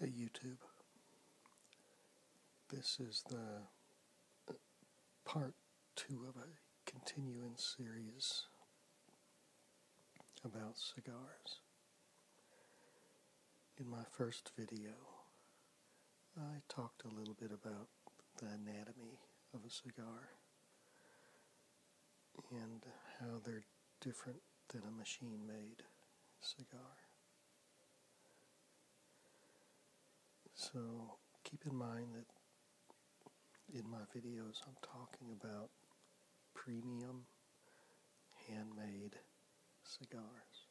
Hey YouTube. This is the part two of a continuing series about cigars. In my first video, I talked a little bit about the anatomy of a cigar and how they're different than a machine made cigar. So keep in mind that in my videos I'm talking about premium handmade cigars.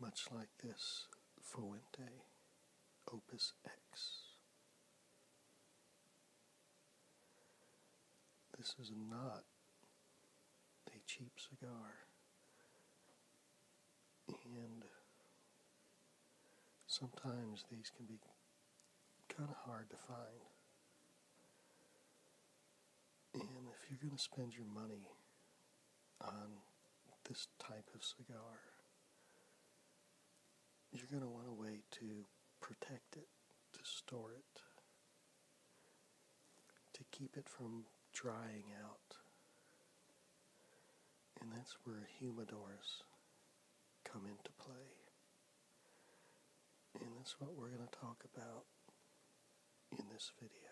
Much like this Fuente Opus X. This is not a cheap cigar. And sometimes these can be kind of hard to find. And if you're going to spend your money on this type of cigar, you're going to want a way to protect it, to store it, to keep it from drying out. And that's where humidors come into play. And that's what we're going to talk about in this video.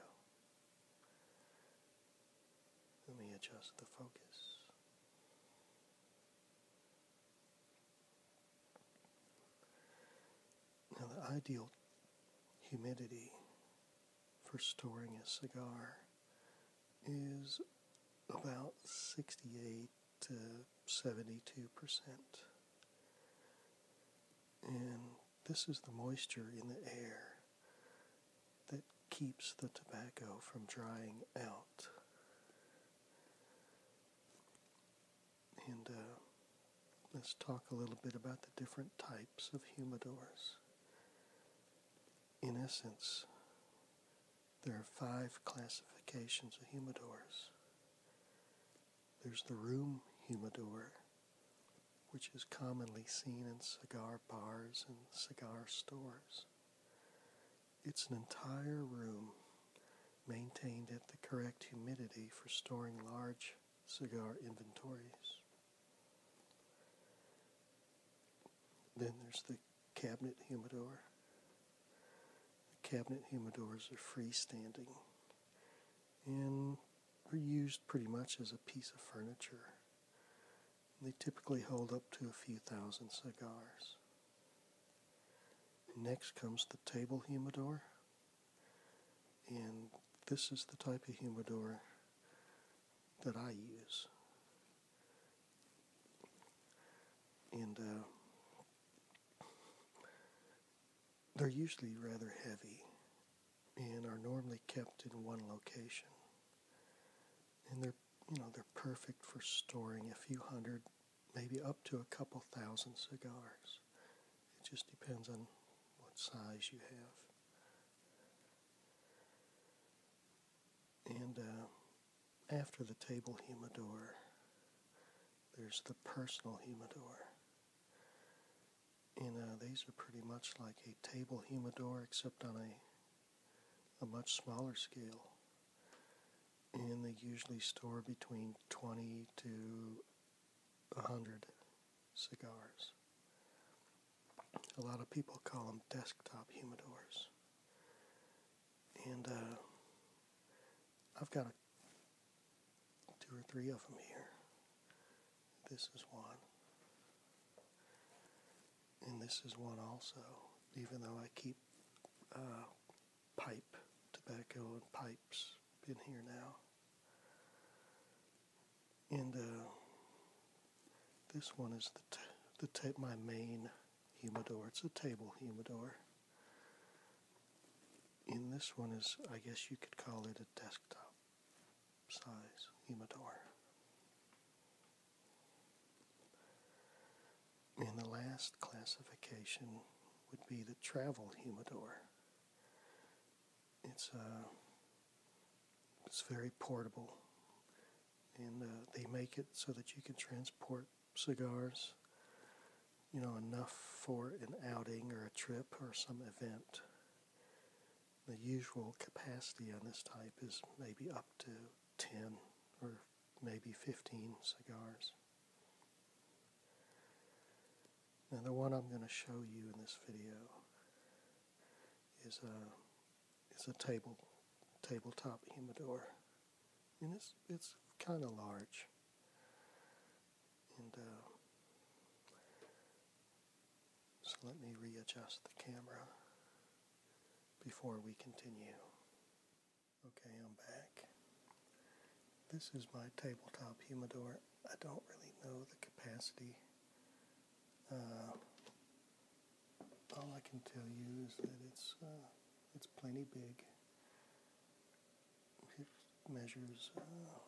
Let me adjust the focus. Now, the ideal humidity for storing a cigar is about 68 to 72%. And this is the moisture in the air that keeps the tobacco from drying out. And uh, let's talk a little bit about the different types of humidors. In essence, there are five classifications of humidors. There's the room humidor, which is commonly seen in cigar bars and cigar stores. It's an entire room maintained at the correct humidity for storing large cigar inventories. Then there's the cabinet humidor. The cabinet humidors are freestanding and are used pretty much as a piece of furniture they typically hold up to a few thousand cigars. Next comes the table humidor, and this is the type of humidor that I use. And uh, they're usually rather heavy and are normally kept in one location. And they're you know, they're perfect for storing a few hundred, maybe up to a couple thousand cigars. It just depends on what size you have. And uh, after the table humidor, there's the personal humidor. You uh, know these are pretty much like a table humidor, except on a a much smaller scale. And they usually store between 20 to 100 cigars. A lot of people call them desktop humidors. And uh, I've got two or three of them here. This is one and this is one also, even though I keep uh, pipe, tobacco and pipes in here now. And uh, this one is the, the ta- my main humidor. It's a table humidor. And this one is, I guess you could call it a desktop size Humidor. And the last classification would be the travel humidor. It's uh, it's very portable, and uh, they make it so that you can transport cigars, you know, enough for an outing or a trip or some event. The usual capacity on this type is maybe up to 10 or maybe 15 cigars. Now the one I'm going to show you in this video is a is a table tabletop humidor, and it's it's kind of large, and uh, so let me readjust the camera before we continue. Okay, I'm back. This is my tabletop humidor. I don't really know the capacity. Uh, all I can tell you is that it's uh, it's plenty big. It measures uh,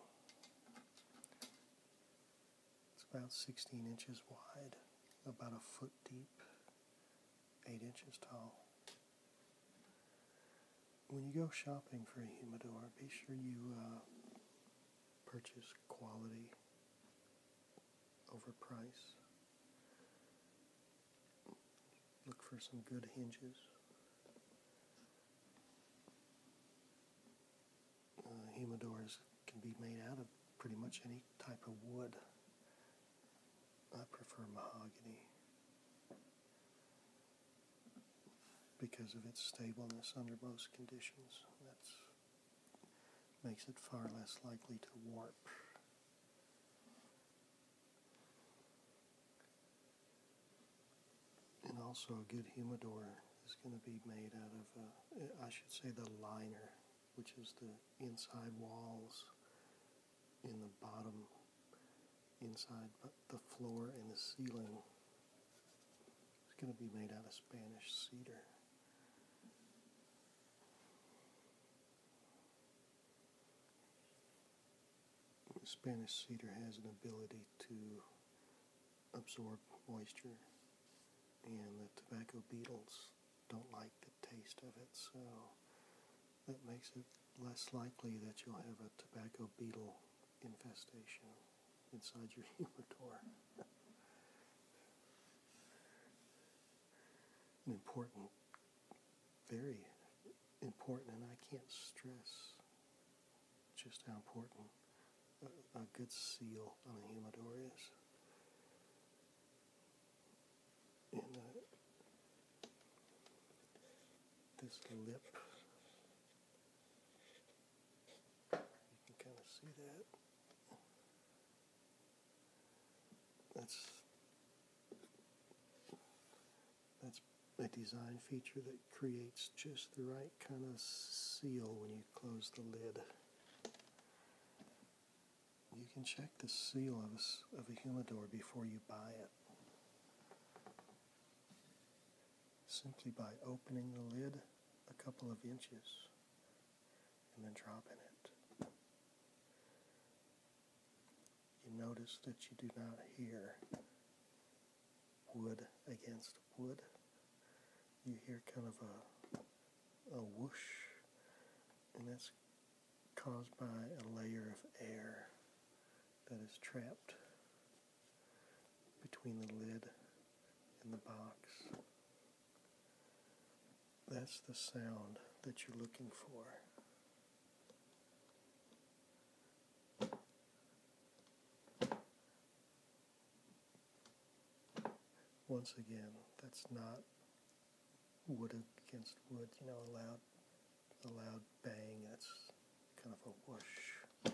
it's about 16 inches wide, about a foot deep, 8 inches tall. When you go shopping for a humidor, be sure you uh, purchase quality over price. Look for some good hinges. Uh, humidors can be made out of pretty much any type of wood. I prefer mahogany because of its stableness under most conditions. That makes it far less likely to warp and also a good humidor is going to be made out of, uh, I should say, the liner, which is the inside walls in the bottom, inside but the floor and the ceiling. is going to be made out of Spanish cedar. Spanish cedar has an ability to absorb moisture, and the tobacco beetles don't like the taste of it, so that makes it less likely that you'll have a tobacco beetle infestation inside your humidor. An important, very important, and I can't stress just how important a, good seal on a humidor is. And uh, this lip, you can kind of see that. That's that's a design feature that creates just the right kind of seal when you close the lid. You can check the seal of a, humidor before you buy it. Simply by opening the lid a couple of inches and then dropping it. You notice that you do not hear wood against wood. You hear kind of a, a whoosh, and that's caused by a layer of air that is trapped between the lid and the box. That's the sound that you're looking for. Once again, that's not wood against wood, you know, a loud, a loud bang, that's kind of a whoosh.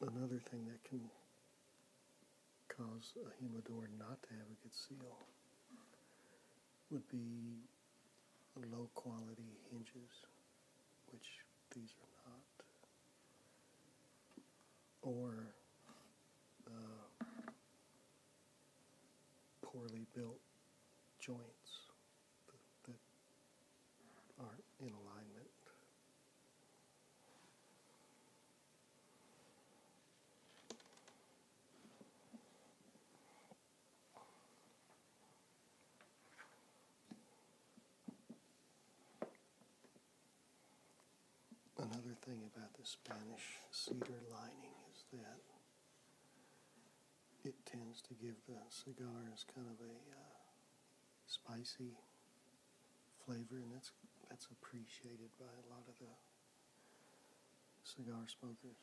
Another thing that can cause a humidor not to have a good seal would be low quality hinges, which these are not, or poorly built joints that aren't in alignment. Another thing about the Spanish cedar lining is that it tends to give the cigars kind of a uh, spicy flavor, and that's that's appreciated by a lot of the cigar smokers.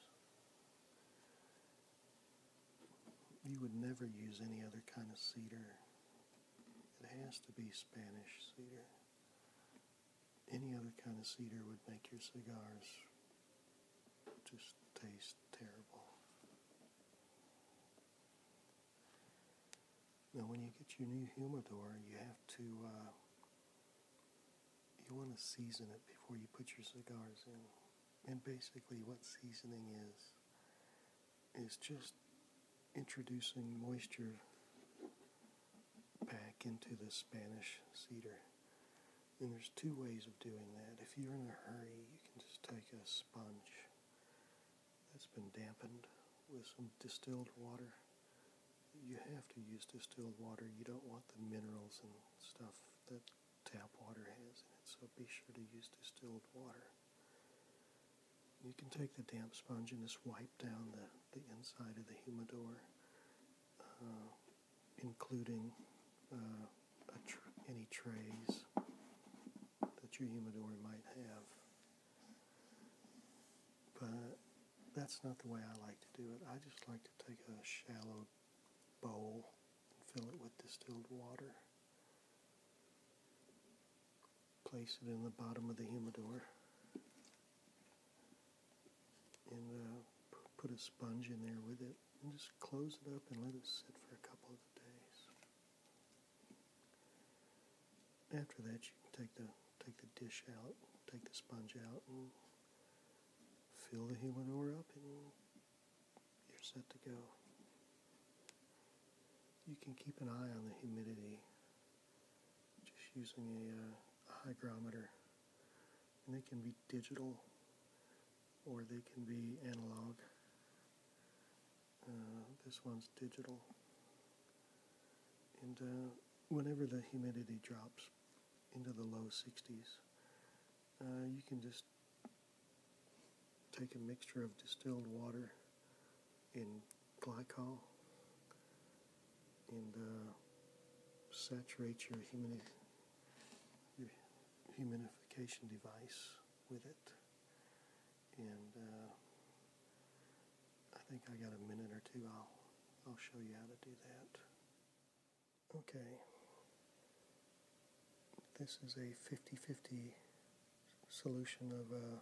You would never use any other kind of cedar. It has to be Spanish cedar. Any other kind of cedar would make your cigars just taste terrible. Now, when you get your new humidor, you have to uh, you want to season it before you put your cigars in. And basically, what seasoning is is just introducing moisture back into the Spanish cedar. And there's two ways of doing that. If you're in a hurry, you can just take a sponge that's been dampened with some distilled water. You have to use distilled water. You don't want the minerals and stuff that tap water has in it, so be sure to use distilled water. You can take the damp sponge and just wipe down the, the inside of the humidor, uh, including uh, any trays that your humidor might have. But that's not the way I like to do it. I just like to take a shallow bowl and fill it with distilled water. Place it in the bottom of the humidor and uh, put a sponge in there with it just close it up and let it sit for a couple of days. After that, you can take the take the dish out, take the sponge out, and fill the helanor up, and you're set to go. You can keep an eye on the humidity just using a, uh, a hygrometer, and they can be digital or they can be analog. Uh, this one's digital. And uh, whenever the humidity drops into the low 60s, uh, you can just take a mixture of distilled water and glycol and saturate your humidity humidification device with it. And uh, I think I got a minute or two. I'll I'll show you how to do that. Okay. This is a 50-50 solution of uh,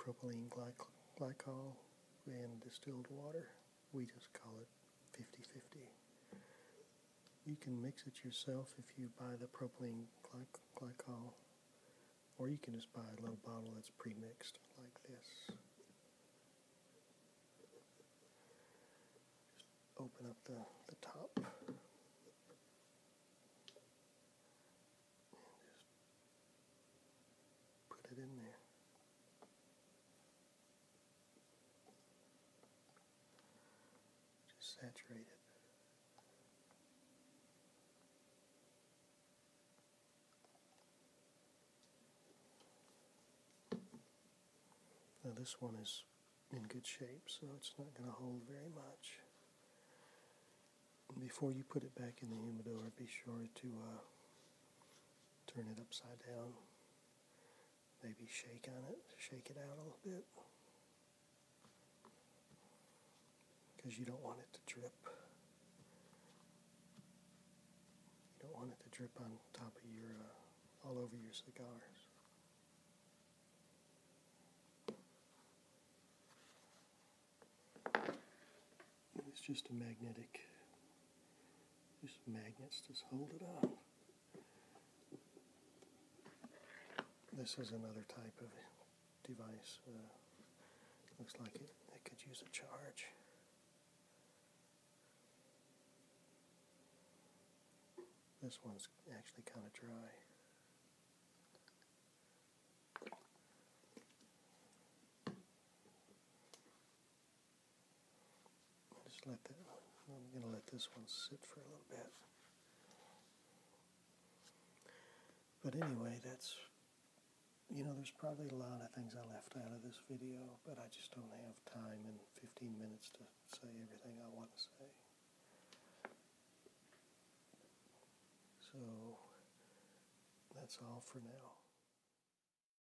propylene glycol and distilled water we just call it 50-50. You can mix it yourself if you buy the propylene glycol, or you can just buy a little bottle that's premixed like this. open up the, the top. And just put it in there. Just saturate it. Now this one is in good shape, so it's not going to hold very much. before you put it back in the humidor, be sure to uh, turn it upside down maybe shake on it, shake it out a little bit. Because you don't want it to drip. You don't want it to drip on top of your, uh, all over your cigars. It's just a magnetic these magnets just hold it up. This is another type of device. Uh, looks like it could use a charge. This one's actually kind of dry. Just let that I'm going to let this one sit for a little bit. But anyway, that's, you know, there's probably a lot of things I left out of this video, but I just don't have time in 15 minutes to say everything I want to say. So that's all for now.